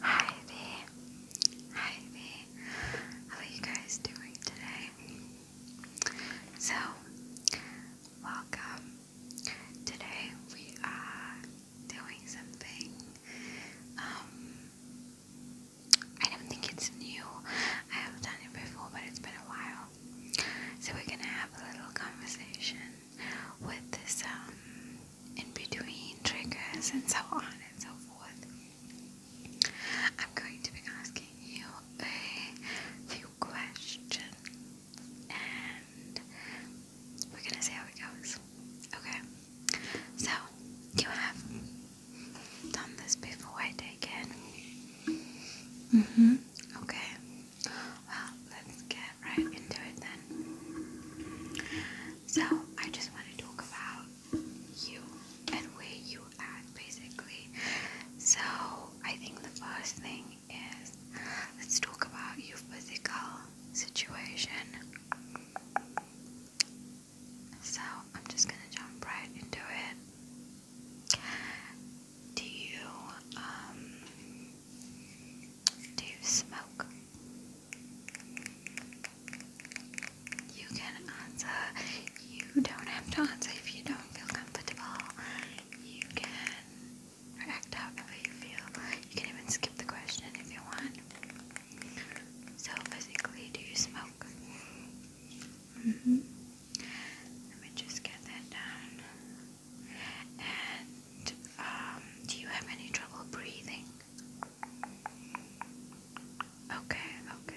Hi there. Hi there. How are you guys doing today? So, welcome. Today we are doing something. Um, I don't think it's new. I have done it before, but it's been a while. So we're gonna have a little conversation with this um, in between triggers and so on and so forth. I'm going to be asking you a few questions and we're gonna see how it goes. Okay, so you have done this before, I take it. Mm hmm. Okay well, let's get right into it then. So, I just want to talk about you and where you at basically. So, I think the first thing is let's talk about your physical situation. So, I'm just gonna jump right into it. Do you, um, do smoke? You can answer. You don't have to answer if you don't feel comfortable. You can react however you feel. You can even skip the question if you want. So, physically, do you smoke? Mm hmm. Let me just get that down. And um, do you have any trouble breathing? Okay, okay.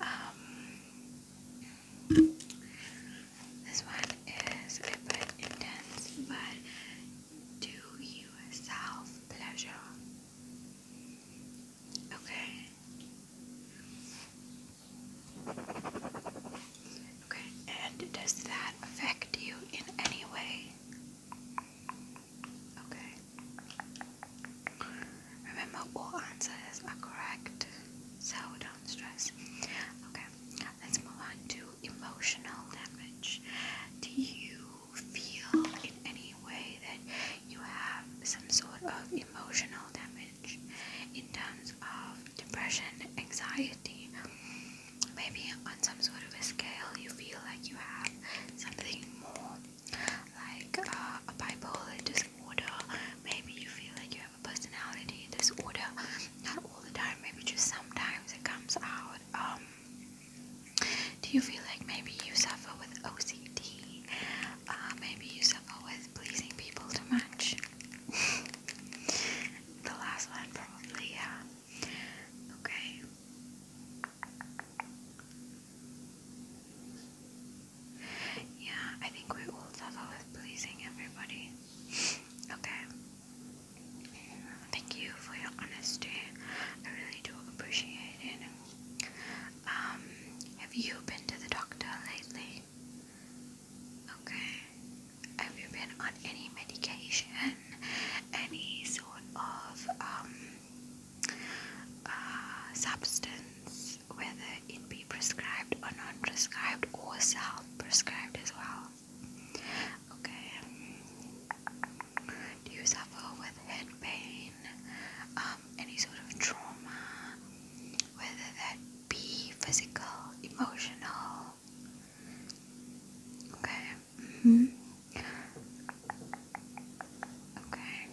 Um, this one is a bit intense, but do you self pleasure? Okay. Okay, and does that affect you in any way? Okay. Remember, all answers are correct, so don't stress. Okay, let's move on to emotional damage. Do you feel in any way that you have some sort of emotional damage? manage in terms of depression, anxiety. Maybe on some sort of a scale, you feel like you have something more like uh, a bipolar disorder. Maybe you feel like you have a personality disorder, not all the time, maybe just sometimes it comes out. Um, do you feel like maybe you suffer with OCD? Uh, maybe you suffer with pleasing people too much? the last one, probably, yeah. Okay. Yeah, I think we will settle with pleasing everybody. Okay. Thank you for your honesty. I really do appreciate it. Um, have you been to the doctor lately? Okay. Have you been on any medication? Any sort of um, uh, substance, whether it be prescribed or non prescribed or self prescribed as well? Okay. Do you suffer with head pain? Um, any sort of trauma? whether that be physical, emotional. Okay. Mm-hmm. Okay.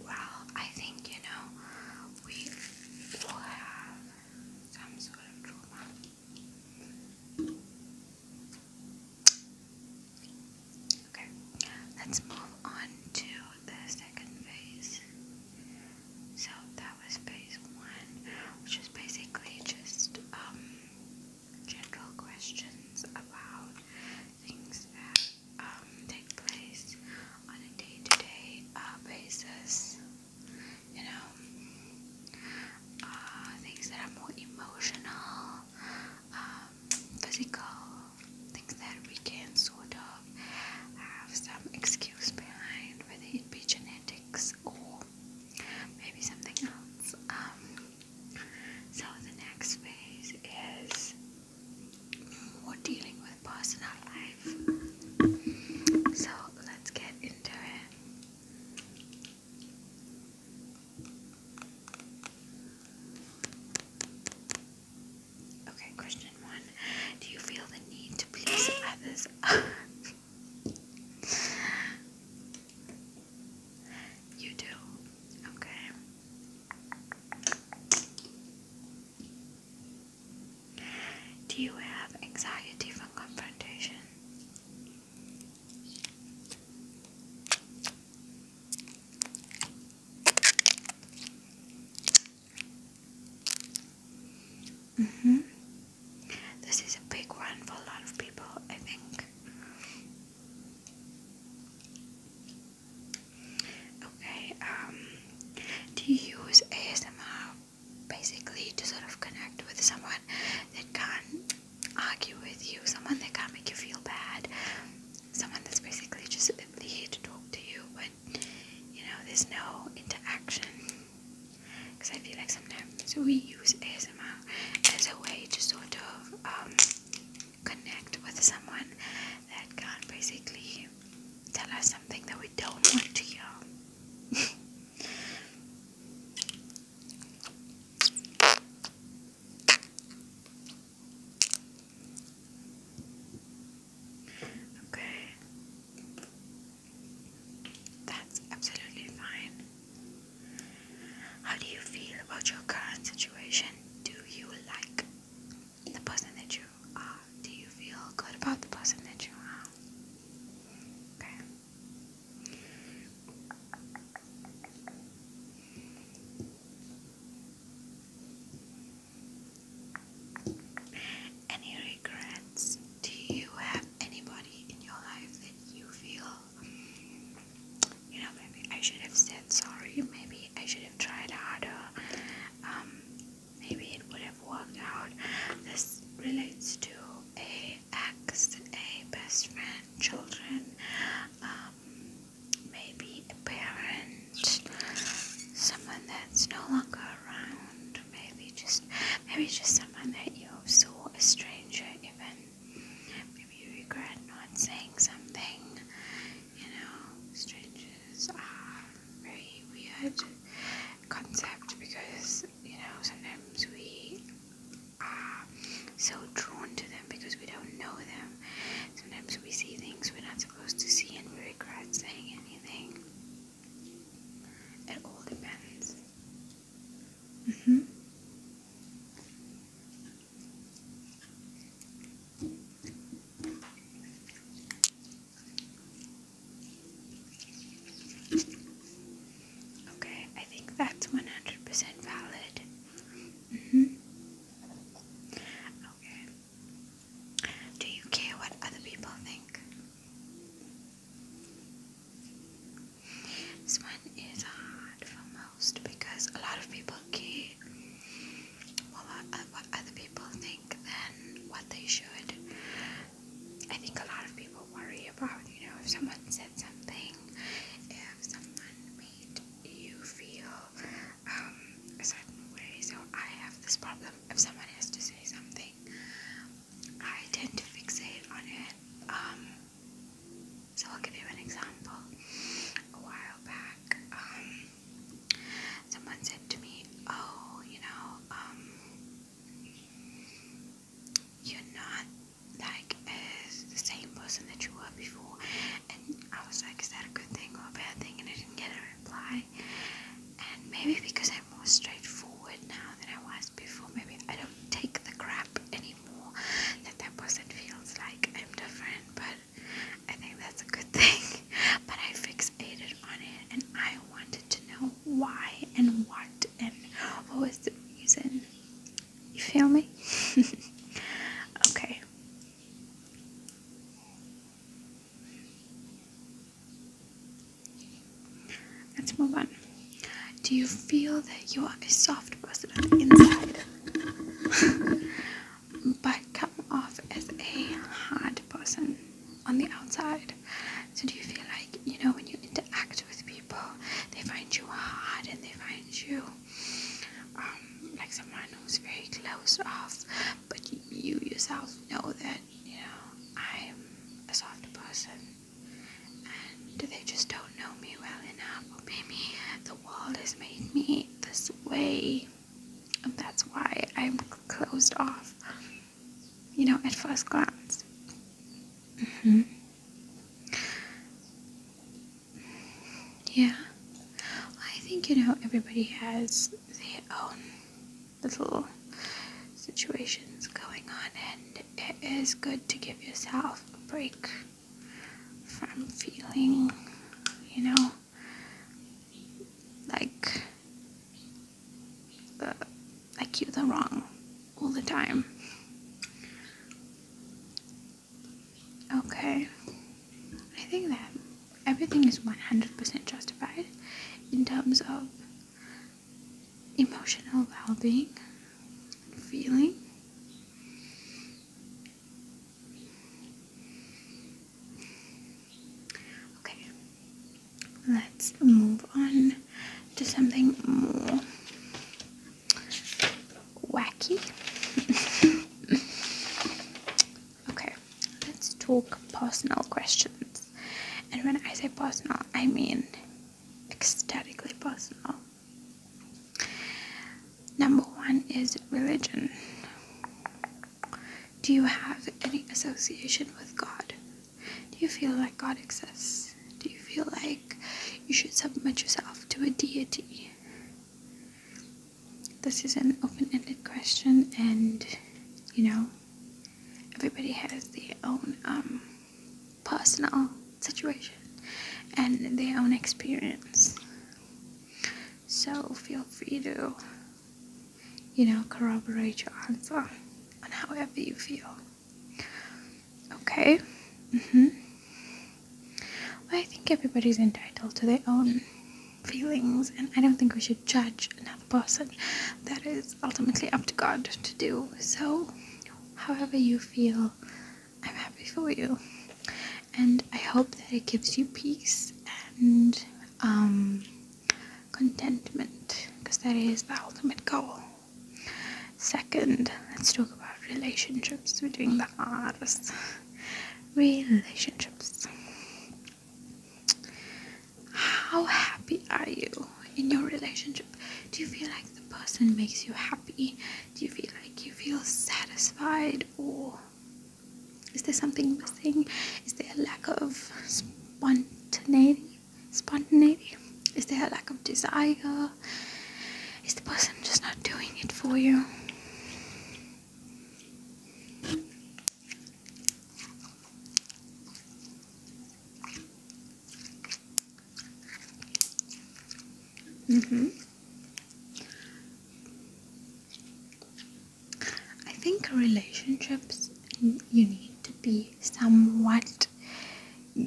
Well, I think you know we will have some sort of trauma. Okay, let's move on to the second phase. So that was phase one, which is basically just um, general questions about things that um, take place on a day-to-day uh, basis. You know, uh, things that are more emotional, um, physical things that we can sort of have some excuse behind, whether it be genetics or maybe something else. Um, so the next phase is more dealing with personal life. So let's get into it. Okay, question one. Do you feel the need to please others? you do. Okay. Do you have anxiety from confrontation? Mm hmm This is a big one for a lot of people, I think. Okay, um, do you use ASMR basically to sort of connect with someone someone that can't argue with you, someone that can't make you feel bad, someone that's basically just here to talk to you, but you know, there's no interaction. Because I feel like sometimes we use ASMR as a way to sort of um, connect with someone that can't basically tell us something that we don't want to hear. Okay. That's absolutely fine. How do you feel about your current situation? Do you like the person that you are? Do you feel good about the person that you are? Okay. Any regrets? Do you have anybody in your life that you feel, you know, maybe I should have said sorry, maybe I should have tried harder, um, maybe it would have worked out? This relates to a ex, a best friend, children, um, maybe a parent, someone that's no longer around, maybe just maybe just someone that you saw a stranger even. Maybe you regret not saying something. You know, strangers are very weird concept because you know sometimes we are so drawn to them because we don't know them. Sometimes we see things we're not supposed to see and we regret saying anything. It all depends. Mm-hmm. Okay, I think that's 100% valid. Mm hmm Okay. Do you care what other people think? This one is hard for most because a lot of people care more uh, what other people think than what they should. I think a lot of people worry about, you know, if someone said something, if someone made you feel um, a certain way. So I have this problem. If someone has to say something, I tend to fixate on it. Um, so I'll give you an example. A while back, um, someone said to me, "Oh, you know, you're not like as the same person that you were before and I was like is that a good thing or a bad thing and I didn't get a reply and maybe because I'm more straightforward now than I was before maybe I don't take the crap anymore that that person feels like I'm different but I think that's a good thing but I fixated on it and I wanted to know why and what and what was the reason you feel me? okay. Let's move on. Do you feel that you are a soft person on the inside, but come off as a hard person on the outside? So, do you feel like you know, when you interact with people, they find you hard and they find you um, like someone who's very closed off. But you yourself know that, you know, I'm a soft person and they just don't know me well enough. maybe the world has made me this way. And that's why I'm closed off, you know, at first glance. hmm yeah, I think you know everybody has their own little situations going on, and it is good to give yourself a break from feeling, you know, like uh, like you're the wrong all the time. Okay, I think that everything is 100% justified in terms of emotional well being, feeling. Okay, let's move on to something more wacky. okay, let's talk personal questions. And when I say personal, I mean ecstatically personal. Number one is religion. Do you have any association with God? Do you feel like God exists? Do you feel like you should submit yourself to a deity? This is an open ended question, and you know, everybody has their own um, personal situation and their own experience. So feel free to, you know, corroborate your answer on however you feel. Okay. Mm-hmm. I think everybody's entitled to their own feelings, and I don't think we should judge another person. That is ultimately up to God to do. So, however you feel, I'm happy for you. And I hope that it gives you peace and um, contentment, because that is the ultimate goal. Second, let's talk about relationships between the hardest Relationships. How happy are you in your relationship? Do you feel like the person makes you happy? Do you feel like you feel satisfied? Or is there something missing? Is there a lack of spontaneity? spontaneity? Is there a lack of desire? Is the person just not doing it for you? Mm-hmm. I think relationships you need to be somewhat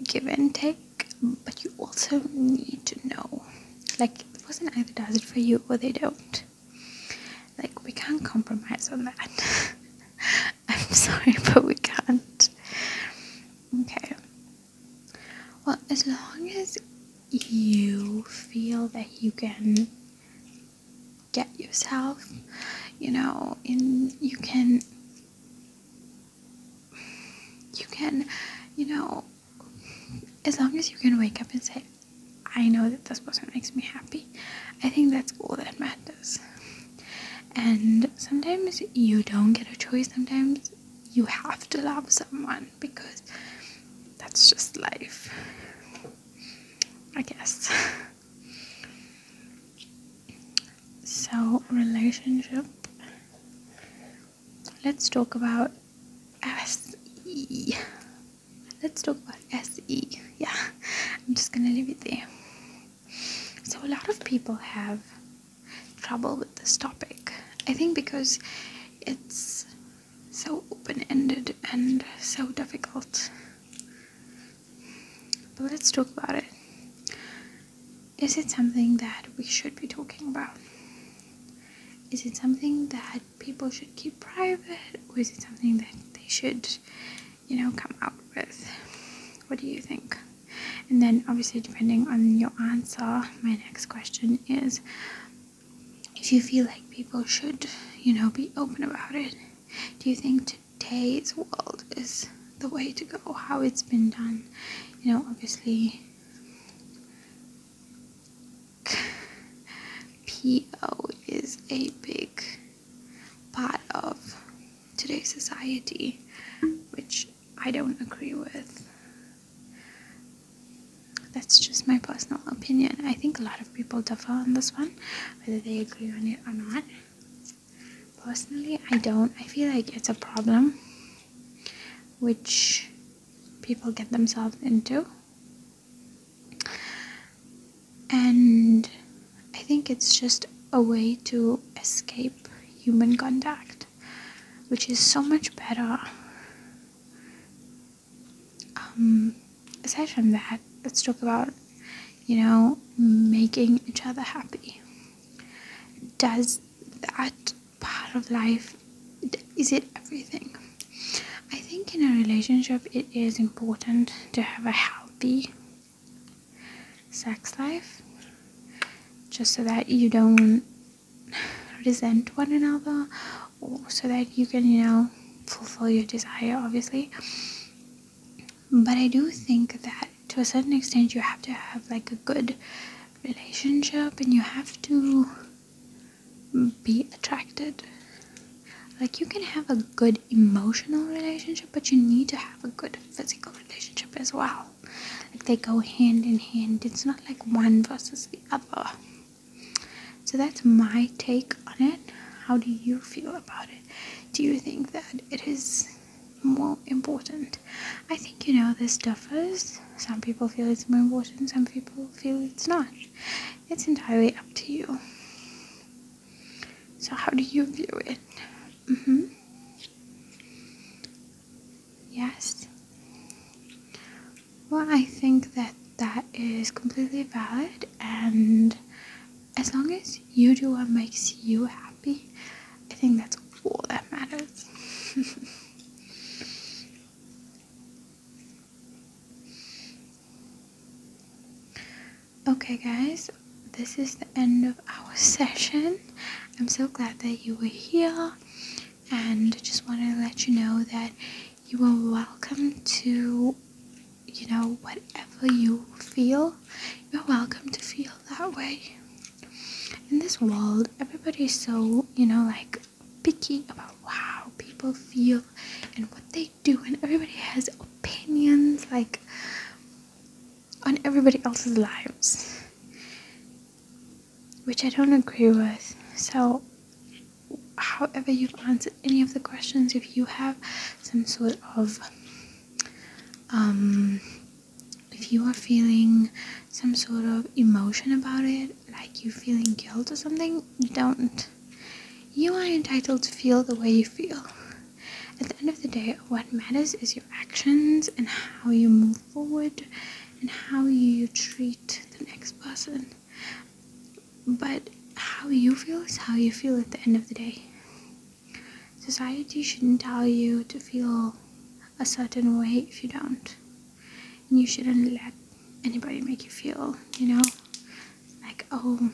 give and take, but you also need to know like it wasn't either does it for you or they don't. Like, we can't compromise on that. I'm sorry, but we can't. Okay. Well, as long as you feel that you can get yourself, you know, in you can you can, you know, as long as you can wake up and say, I know that this person makes me happy, I think that's all that matters. And sometimes you don't get a choice, sometimes you have to love someone because that's just life, I guess. So, relationship. Let's talk about SE. Let's talk about SE. Yeah, I'm just gonna leave it there. So, a lot of people have trouble with this topic. I think because it's so open ended and so difficult. But let's talk about it. Is it something that we should be talking about? Is it something that people should keep private? Or is it something that they should, you know, come out with? What do you think? And then, obviously, depending on your answer, my next question is if you feel like people should, you know, be open about it, do you think today's world is the way to go, how it's been done. You know, obviously, PO is a big part of today's society, which I don't agree with. That's just my personal opinion. I think a lot of people differ on this one, whether they agree on it or not. Personally, I don't. I feel like it's a problem which people get themselves into. And I think it's just a way to escape human contact, which is so much better. Um, aside from that, let's talk about you know, making each other happy. Does that part of life, is it everything? I think in a relationship it is important to have a healthy sex life just so that you don't resent one another or so that you can, you know, fulfill your desire, obviously. But I do think that to a certain extent you have to have like a good relationship and you have to be attracted. Like you can have a good emotional relationship, but you need to have a good physical relationship as well. Like they go hand in hand. It's not like one versus the other. So that's my take on it. How do you feel about it? do you think that it is more important? I think you know this differs. Some people feel it's more important, some people feel it's not. It's entirely up to you. So, how do you view it? Mm-hmm. Yes. Well, I think that that is completely valid, and as long as you do what makes you happy, I think that's all that matters. okay, guys, this is the end of our session. I'm so glad that you were here and just want to let you know that you are welcome to you know, whatever you feel, you're welcome to feel that way. In this world, everybody's so, you know, like picky about how people feel and what they do, and everybody has opinions like on everybody else's lives, which I don't agree with. So, however, you've answered any of the questions, if you have some sort of um, if you are feeling some sort of emotion about it, like you are feeling guilt or something, you don't. You are entitled to feel the way you feel. At the end of the day, what matters is your actions and how you move forward and how you treat the next person. But how you feel is how you feel at the end of the day. Society shouldn't tell you to feel a certain way if you don't. And you shouldn't let anybody make you feel, you know, like, oh,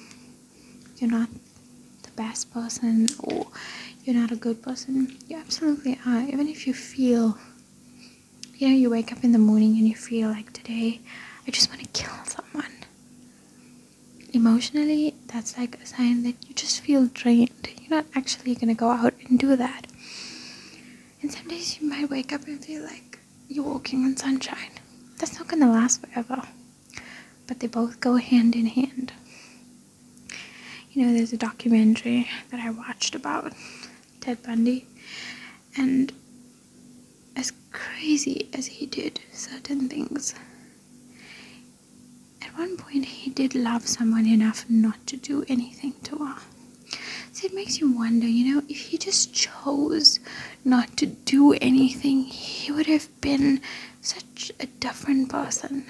you're not the best person or you're not a good person. You absolutely are. Even if you feel, you know, you wake up in the morning and you feel like today, I just want to kill someone emotionally, that's like a sign that you just feel drained. You're not actually gonna go out and do that. And some days you might wake up and feel like you're walking in sunshine. That's not gonna last forever. But they both go hand in hand. You know, there's a documentary that I watched about Ted Bundy, and as crazy as he did certain things. At one point, he did love someone enough not to do anything to her. See, it makes you wonder, you know, if he just chose not to do anything, he would have been such a different person.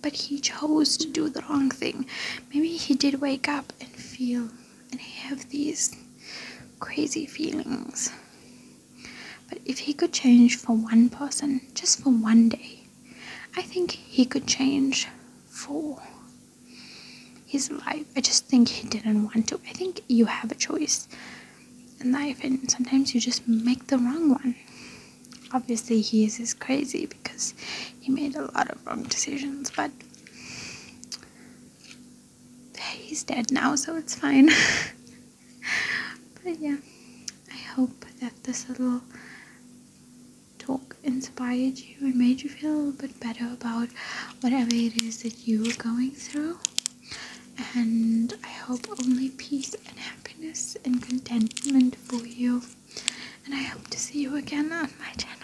But he chose to do the wrong thing. Maybe he did wake up and feel and have these crazy feelings. But if he could change for one person, just for one day, I think he could change for his life. I just think he didn't want to. I think you have a choice in life, and sometimes you just make the wrong one. Obviously, he is crazy because he made a lot of wrong decisions, but he's dead now, so it's fine. but yeah, I hope that this little talk inspired you and made you feel a little bit better about whatever it is that you are going through. And I hope only peace and happiness and contentment for you. And I hope to see you again on my channel.